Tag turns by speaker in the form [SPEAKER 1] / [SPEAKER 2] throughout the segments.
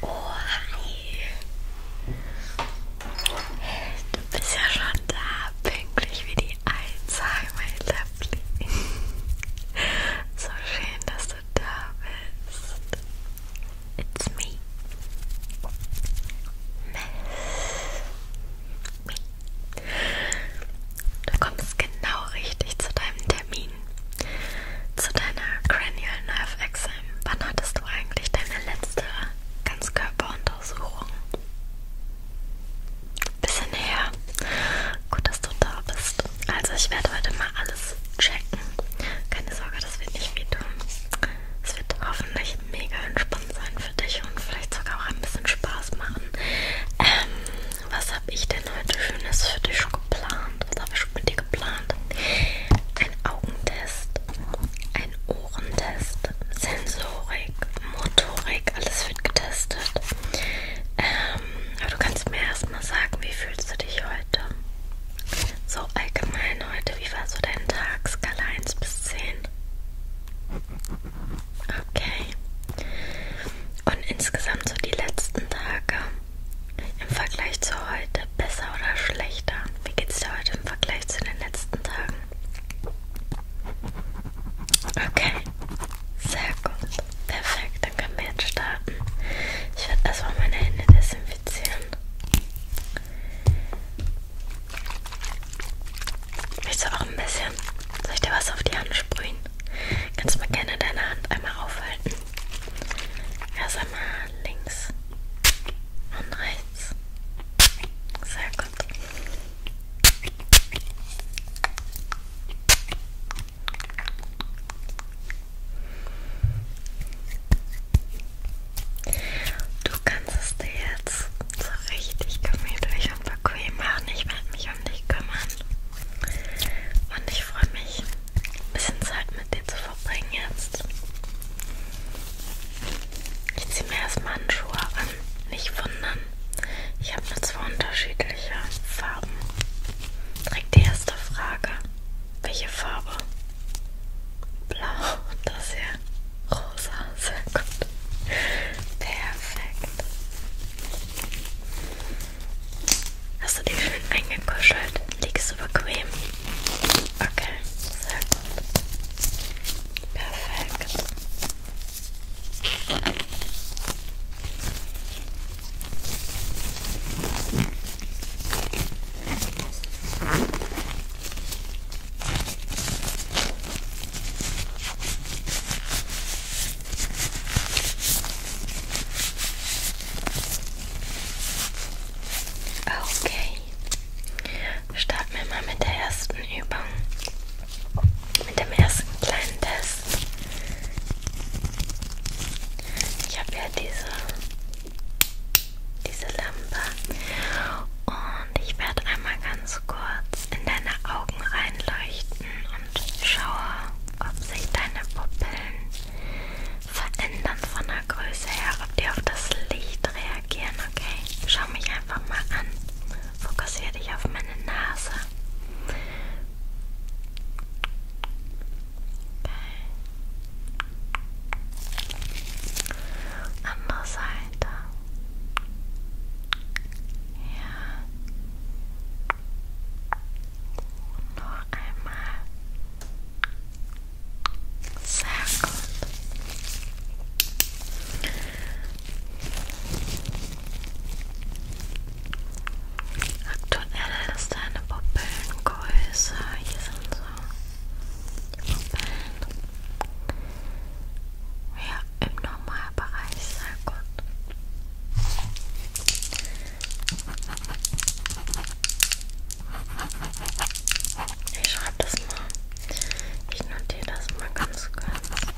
[SPEAKER 1] Oh, hi. Du bist ja schon da, pünktlich wie die Alzheimer, Lovely. So schön, dass du da bist. It's me. me. Du kommst genau richtig zu deinem Termin. Zu deiner Cranial Nerve Exam. Wann hattest du eigentlich deine letzte Ganzkörperuntersuchung? Bisschen her. Gut, dass du da bist. Also ich werde heute mal alles checken. Keine Sorge, das wird nicht wehtun. Es wird hoffentlich mega entspannt sein für dich und vielleicht sogar auch ein bisschen Spaß machen. Ähm, was habe ich denn heute Schönes für dich schon geplant? Was habe ich schon mit dir geplant? Ein Augentest, ein Ohrentest, Sensorik, Motorik, alles wird getestet. Ähm, aber du kannst mir erstmal sagen, wie fühlst du dich heute? So allgemein heute, wie war so dein Tag? Skala 1 bis 10? Okay. Und insgesamt so die letzten Tage im Vergleich zu heute besser oder schlechter? Wie geht's dir heute im Vergleich zu den letzten Tagen? Okay, sehr gut. Perfekt, dann können wir jetzt starten. Ich werde erstmal meine Hände desinfizieren. Willst du auch ein bisschen? Soll ich dir was auf die Hand sprühen? Kannst du mal gerne deine Hand einmal aufhalten? Erst einmal links und rechts. Sehr gut. Du kannst es dir jetzt so richtig gemütlich und bequem machen. Ich werde mich um dich kümmern. Und ich freue mich, ein bisschen Zeit mit dir zu verbringen jetzt. Ich ziehe mir erstmal Handschuhe an. Nicht wundern. Ich habe nur zwei unterschiedliche Farben. Direkt die erste Frage. Welche Farbe? Blau. Das hier. Rosa. Sehr gut. Perfekt. Hast du dich schön eingekuschelt? Liegst du bequem? Okay. Sehr gut. Perfekt. Okay, starten wir mal mit der ersten Übung, mit dem ersten kleinen Test. Ich habe ja diese diese Lampe. Und ich werde einmal ganz kurz in deine Augen reinleuchten und schaue, ob sich deine Pupillen verändern von der Größe her, ob die auf das Licht reagieren, okay? Schau mich einfach mal an. Fokussiere dich auf meine Nase. Okay. Andere Seite. Ja. Und noch einmal. Sehr gut. Aktuell ist deine Pupillengröße. Hier sind so Moment. Ja, im Normalbereich, sehr gut. Ich schreibe das mal. Ich notiere das mal ganz kurz.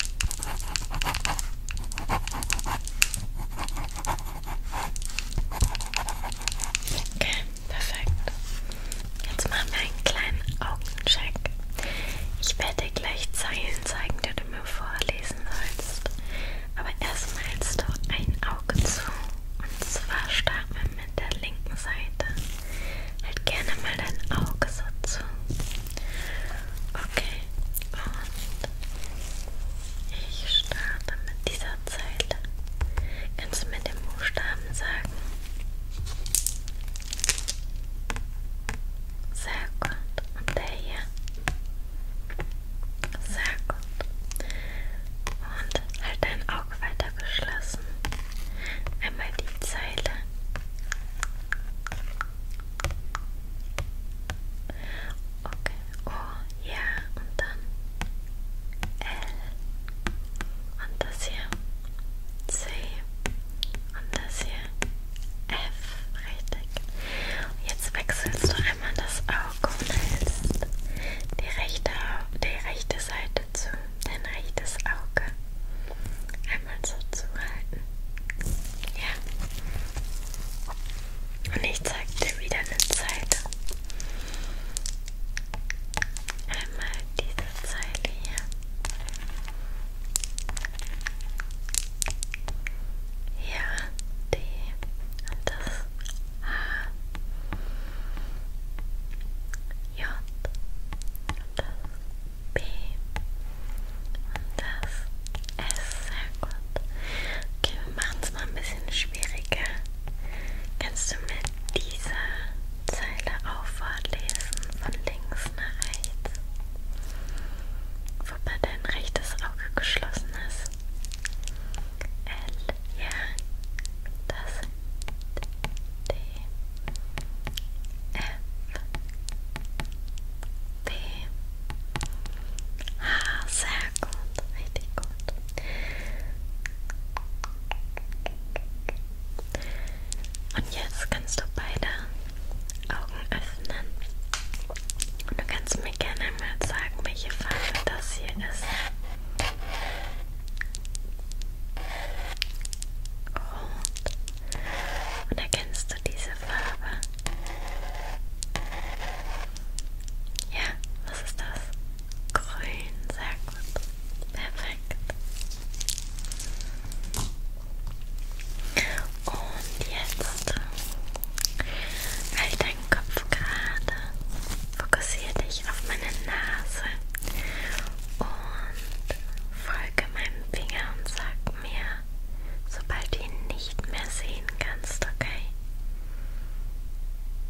[SPEAKER 1] Okay. Perfekt. Jetzt machen wir einen kleinen Augencheck. Ich werde dir gleich Zeilen zeigen, die du mir vorlesen sollst. Aber erstmal hältst du ein Auge zu. Und zwar starten wir mit der linken Seite. Halt gerne mal dein Auge so zu. Okay. Und ich starte mit dieser Zeile. Kannst du mir den Buchstaben sagen? Sehr gut. Und der hier? Sehr gut. Und halt dein Auge weiter geschlossen. Einmal die Zeile. Okay. Und oh, ja und dann L und das hier C und das hier F, richtig. Und jetzt wechselst du einmal das Auge und hältst die rechte, die rechte Seite zu, dein rechtes Auge. Einmal so zuhalten. Ja. Und ich zeig dir wieder eine Seite. Einmal diese Zeile hier. Ja, D und das H. J und das B und das S. Sehr gut. Okay, wir machen es mal ein bisschen schwieriger. Kannst du mit diese Zeile auch vorlesen von links nach rechts, wobei dein rechtes Auge geschlossen ist. L, ja, das D, F, B, H, sehr gut, richtig gut. Und jetzt kannst du beide Augen öffnen. Und du kannst mir gerne mal sagen, welche Farbe das hier ist. Rot. Und erkennst du diese Farbe? Ja, was ist das? Grün, sehr gut. Perfekt. Und jetzt halt deinen Kopf gerade. Fokussiere dich auf meine Nase und folge meinem Finger und sag mir, sobald du ihn nicht mehr sehen kannst, okay?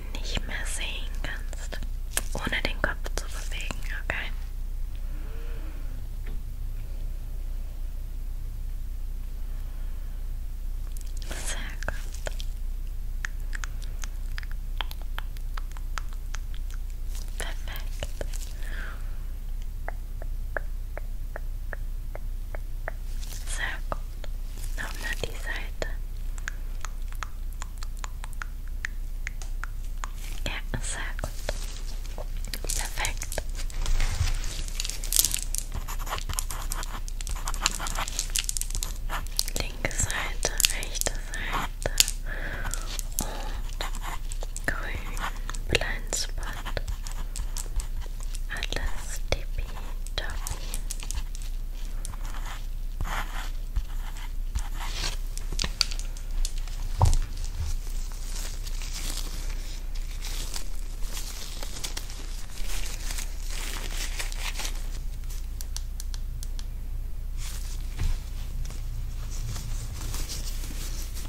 [SPEAKER 1] ihn nicht mehr sehen kannst, ohne den Kopf zu bewegen, okay? Sehr gut. Perfekt. Sehr gut. Nochmal die Seite. Ja, sehr gut. Perfekt. Linke Seite, rechte Seite und grün, Blindspot. Alles tippy da.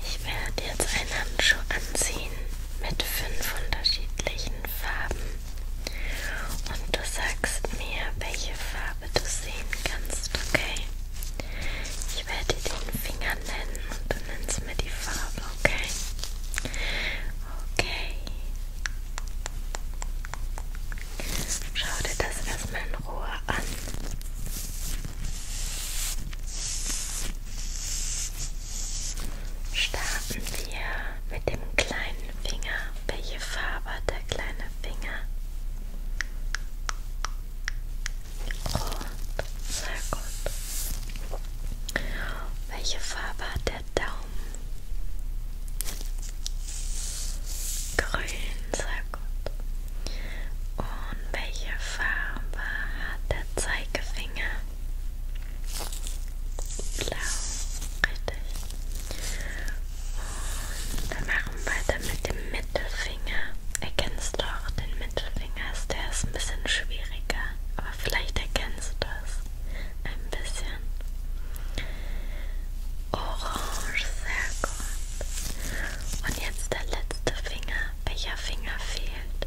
[SPEAKER 1] Ich werde jetzt einen Handschuh anziehen mit fünf unterschiedlichen Farben und du sagst mir, welche Farbe du sehen kannst, okay? Ich werde dir den Finger nennen und du nennst mir die Farbe, okay? Okay. Schau dir das erstmal in Ruhe an. Starten wir mit dem kleinen Finger. Welche Farbe hat der kleine Finger? Rot. Sehr gut. Welche Farbe hat der Daumen? Grün. Sehr gut. Und welche Farbe hat der Zeigefinger? Blau, richtig. Und wir machen weiter mit dem Mittelfinger. Erkennst du auch den Mittelfinger? Der ist ein bisschen schwieriger, aber vielleicht erkennst du das ein bisschen. Orange, sehr gut. Und jetzt der letzte Finger. Welcher Finger fehlt?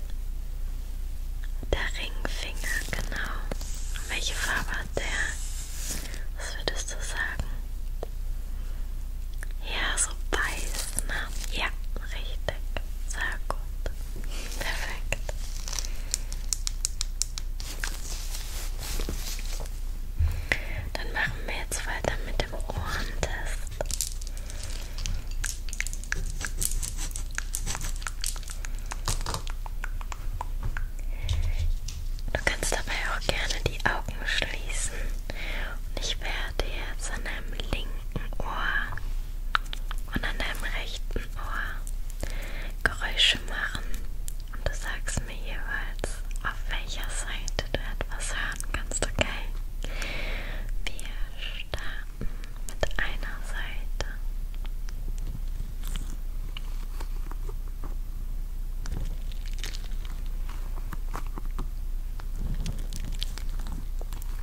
[SPEAKER 1] Der Ring Finger, genau. Und welche Farbe hat der? Was würdest du sagen? Ja, so weiß, ne? Ja, richtig. Sehr gut. Perfekt. Dann machen wir jetzt weiter mit dem Ohrentest. Du kannst dabei auch gerne die Augen schließen. Und ich werde jetzt an deinem linken Ohr und an deinem rechten Ohr Geräusche machen. Und du sagst mir jeweils, auf welcher Seite du etwas hören kannst, okay? Wir starten mit einer Seite.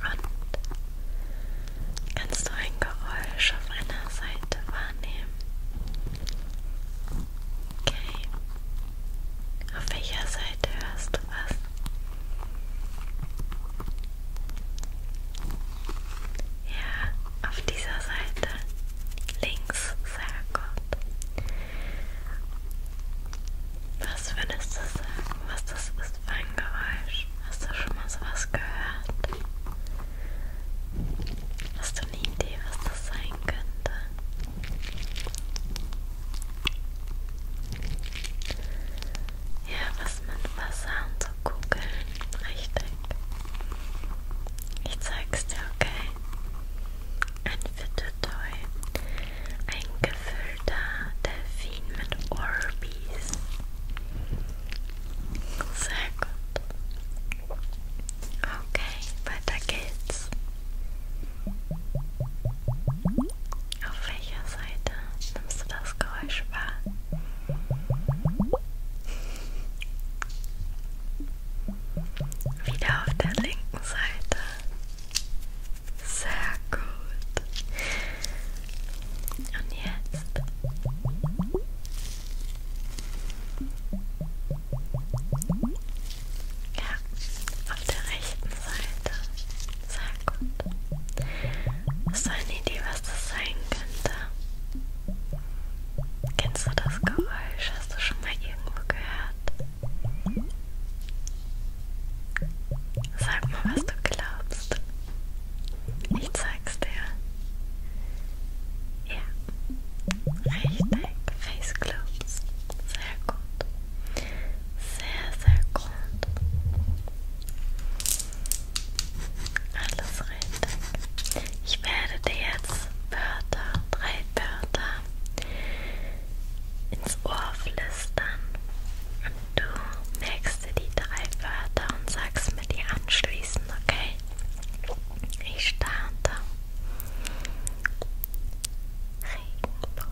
[SPEAKER 1] Und kannst du ein Geräusch auf einer Seite wahrnehmen? Okay. Auf welcher Seite hörst du was? Ja, auf dieser Seite. Links, sehr gut. Was würdest du sagen, was das ist für ein Geräusch? Hast du schon mal sowas gehört? Hast du eine Idee, was das sein könnte? Ja, was mit Wasser und so kugeln. Richtig. Ich zeig's dir, okay? Ein Fittetoi. Ein gefüllter Delfin mit Orbeez. Sehr gut. Okay, weiter geht's. Auf welcher Seite nimmst du das Geräusch wahr? Wieder auf der linken Seite. Sehr gut. Und jetzt. Ja, auf der rechten Seite. Sehr gut. Hast du eine Idee, was das sein könnte? Kennst du das Geräusch? Hast du schon mal irgendwo gehört? Sag mal, was du glaubst. Ich zeig's dir. Ja, richtig. Face Globes. Sehr gut. Sehr, sehr gut. Alles richtig. Ich werde dir jetzt Wörter, drei Wörter ins Ohr flüstern und du merkst dir die drei Wörter und sagst mir die anschließend, okay? Ich starte. Regenbogen.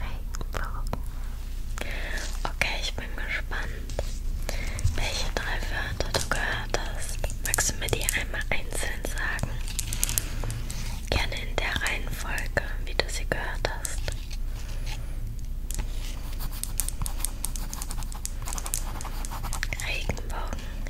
[SPEAKER 1] Regenbogen. Okay, ich bin gespannt, welche drei Wörter du gehört hast. Magst du mir die einmal einzeln sagen? Gerne in der Reihenfolge, wie du sie gehört hast. Regenbogen,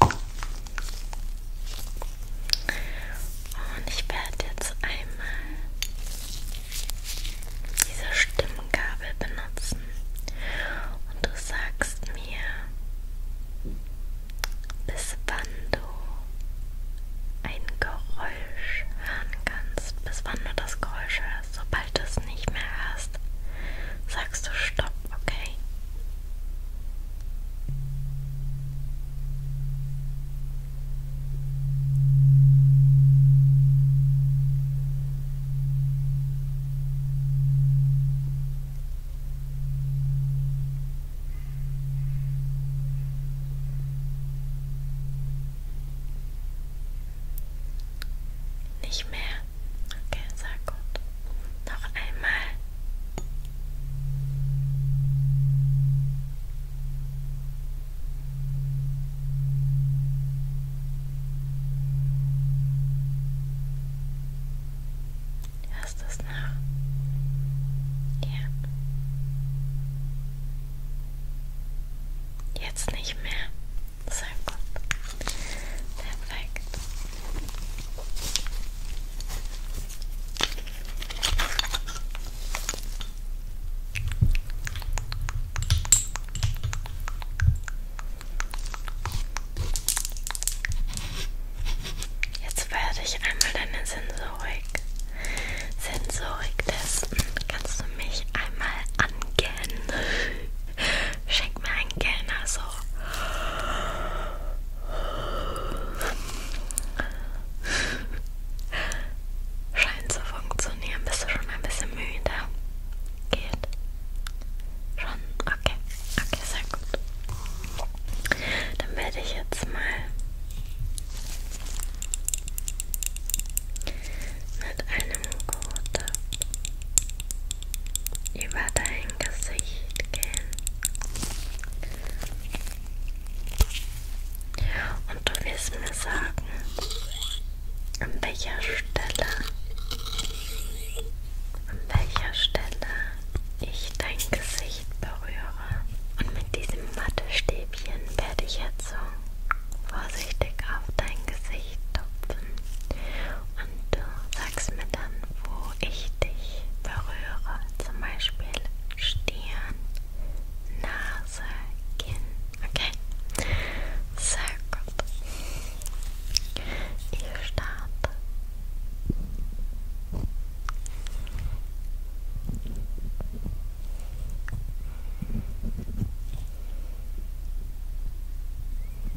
[SPEAKER 1] Und ich werde jetzt einmal diese Stimmgabel benutzen. Und du sagst mir, bis wann du ein Geräusch hören kannst, bis wann du das Geräusch hörst. Sobald du es nicht mehr hörst, sagst du Stopp, okay? Nicht mehr Okay, sehr gut. Noch einmal. Hörst du es noch? Ja. Jetzt nicht mehr. Sehr gut. Perfekt. Jetzt werde ich einmal deine Sensorik, Sensorik testen. Kannst du mich einmal angehen? Schenk mir einen Kellner so. Also. Scheint zu funktionieren. Bist du schon ein bisschen müde? Geht? Schon? Okay. Okay, sehr gut. Dann werde ich jetzt mal mit einem Gurt über dein Gesicht gehen. Und du wirst mir sagen, an welcher Stelle, an welcher Stelle ich dein Gesicht berühre. Und mit diesem Wattestäbchen werde ich jetzt so vorsichtig auf dein Gesicht tupfen und du sagst mir dann, wo ich dich berühre, zum Beispiel Stirn, Nase, Kinn, okay? Sehr gut. Ich starte.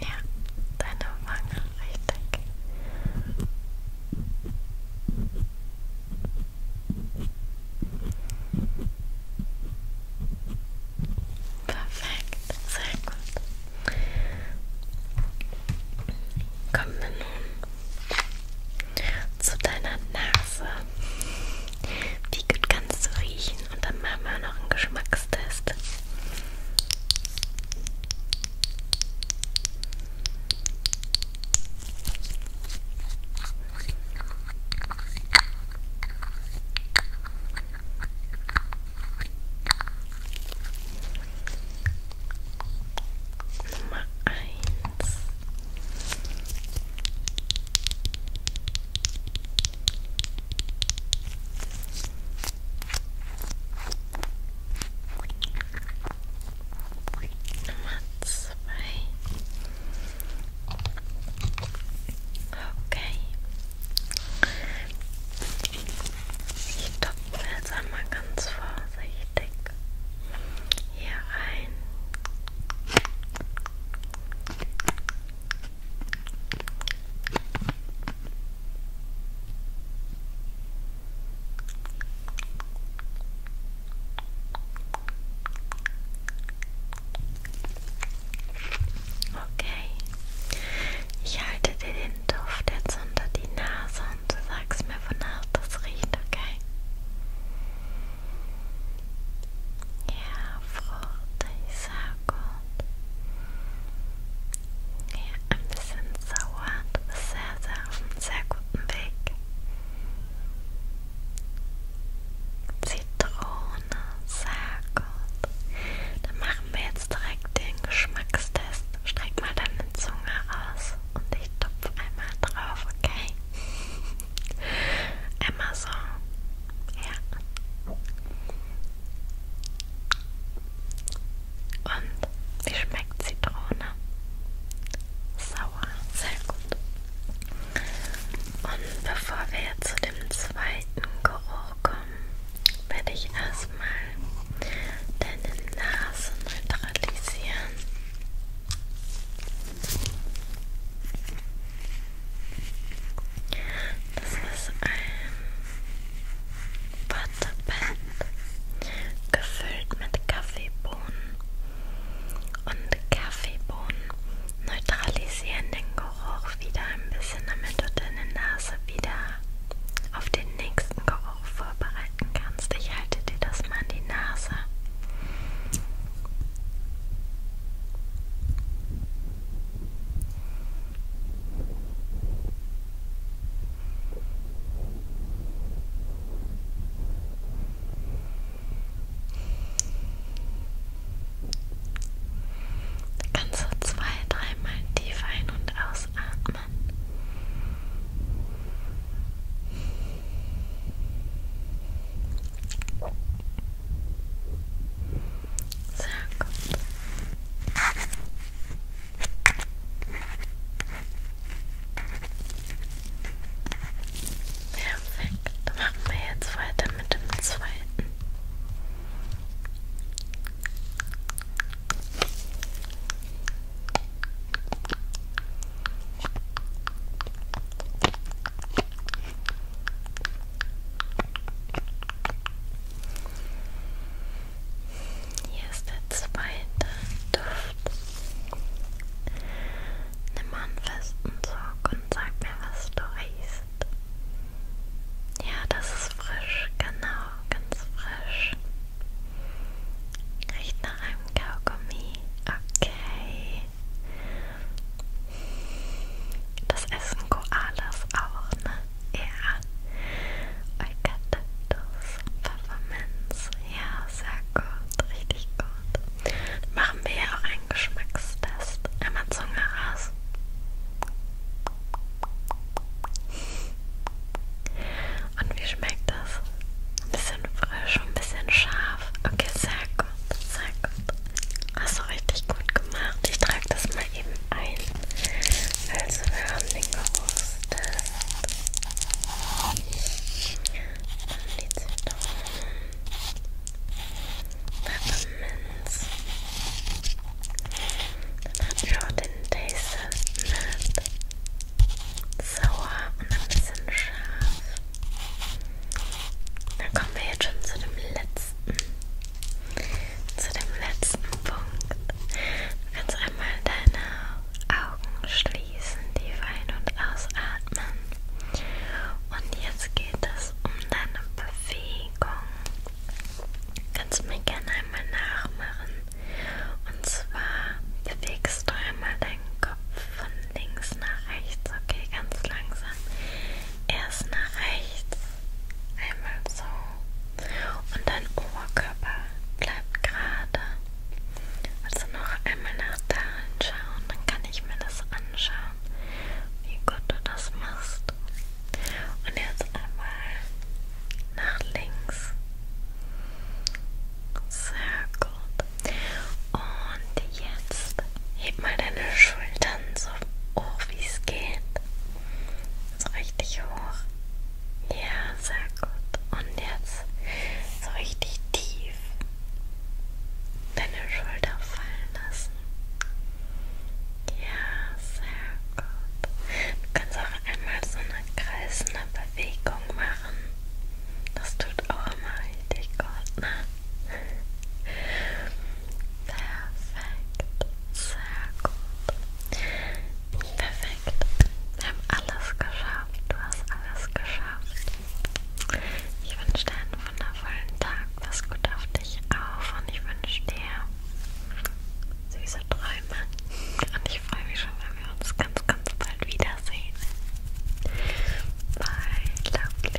[SPEAKER 1] Ja, deine Wange, richtig. Perfekt, sehr gut. Kommen wir nun zu deiner Nase. Wie gut kannst du riechen? Und dann machen wir noch einen Geschmackstest. Nummer eins. Nummer zwei. Okay. Ich topfe jetzt einmal ganz vorsichtig hier rein. Okay, ich halte dir den Duft jetzt unter die Nase und zusammen sagst mir, wonach das riecht, okay? Ja, fruchtig, sehr gut. Ja, ein bisschen sauer, du bist sehr, sehr auf einem sehr guten Weg. Zitrone, sehr gut. Dann machen wir jetzt direkt den Geschmackstest. Streck mal deine Zunge aus und ich tupfe einmal drauf, okay? Immer so. Ja. Und wie schmeckt Zitrone? Sauer, sehr gut. Und bevor wir jetzt zu dem zweiten Geruch kommen, werde ich erstmal deine Nase neutralisieren. Das ist ein Wattepad gefüllt mit Kaffeebohnen und Kaffeebohnen neutralisieren den Geruch wieder ein bisschen, damit du deine Nase wieder auf den nächsten Geruch auch vorbereiten kannst. Ich halte dir das mal an die Nase. Da kannst du zwei, dreimal tief ein- und ausatmen. Sehr gut. Perfekt. Machen wir jetzt weiter mit dem zweiten. Hier ist der zweite Duft. Nimm mal einen festen Zug und sag mir, was du riechst. Ja, das ist frisch, genau, ganz frisch. Riecht nach einem Kaugummi. Okay. Das essen Koalas auch, ne? Ja. Eukalyptus, Pfefferminz. Ja, sehr gut. Richtig gut. Machen wir ja auch einen Geschmackstest. Einmal Zunge raus. Und wie schmeckt das? Ein bisschen frisch und ein bisschen scharf. Okay, sehr gut, sehr gut. Hast du richtig gut gemacht. Ich trage das mal eben ein. Also wir haben den gerostet. Dann die Zitronen. Pfefferminz. Dann hatten wir auch den Taster Nut sauer und ein bisschen scharf. Dann kommen wir jetzt schon zu dem letzten. Zu dem letzten Punkt. Du kannst einmal deine Augen schließen, tief ein- und ausatmen. Und jetzt geht es um deine Bewegung. Kannst du mir gerne einmal nachmachen? Und zwar bewegst du einmal deinen Kopf von links nach rechts, okay, ganz langsam. Erst nach rechts, einmal so. Und dein Oberkörper bleibt gerade. Also noch einmal nach da hinschauen, dann kann ich mir das anschauen, wie gut du das machst. Und jetzt einmal nach links. Sehr gut. Und jetzt heb mal deine Schultern so hoch, wie es geht. So richtig hoch. Ja, sehr gut. Und jetzt so richtig tief deine Schulter fallen lassen. Ja, sehr gut. Du kannst auch einmal so eine kreisende Bewegung machen. Das tut auch immer richtig gut, ne? Perfekt, sehr gut. Perfekt, wir haben alles geschafft. Du hast alles geschafft. Ich wünsche dir einen wundervollen Tag. Pass gut auf dich auf und ich wünsche dir süße Träume. Träume. Und ich freue mich schon, wenn wir uns ganz, ganz bald wiedersehen. Bye, lovely.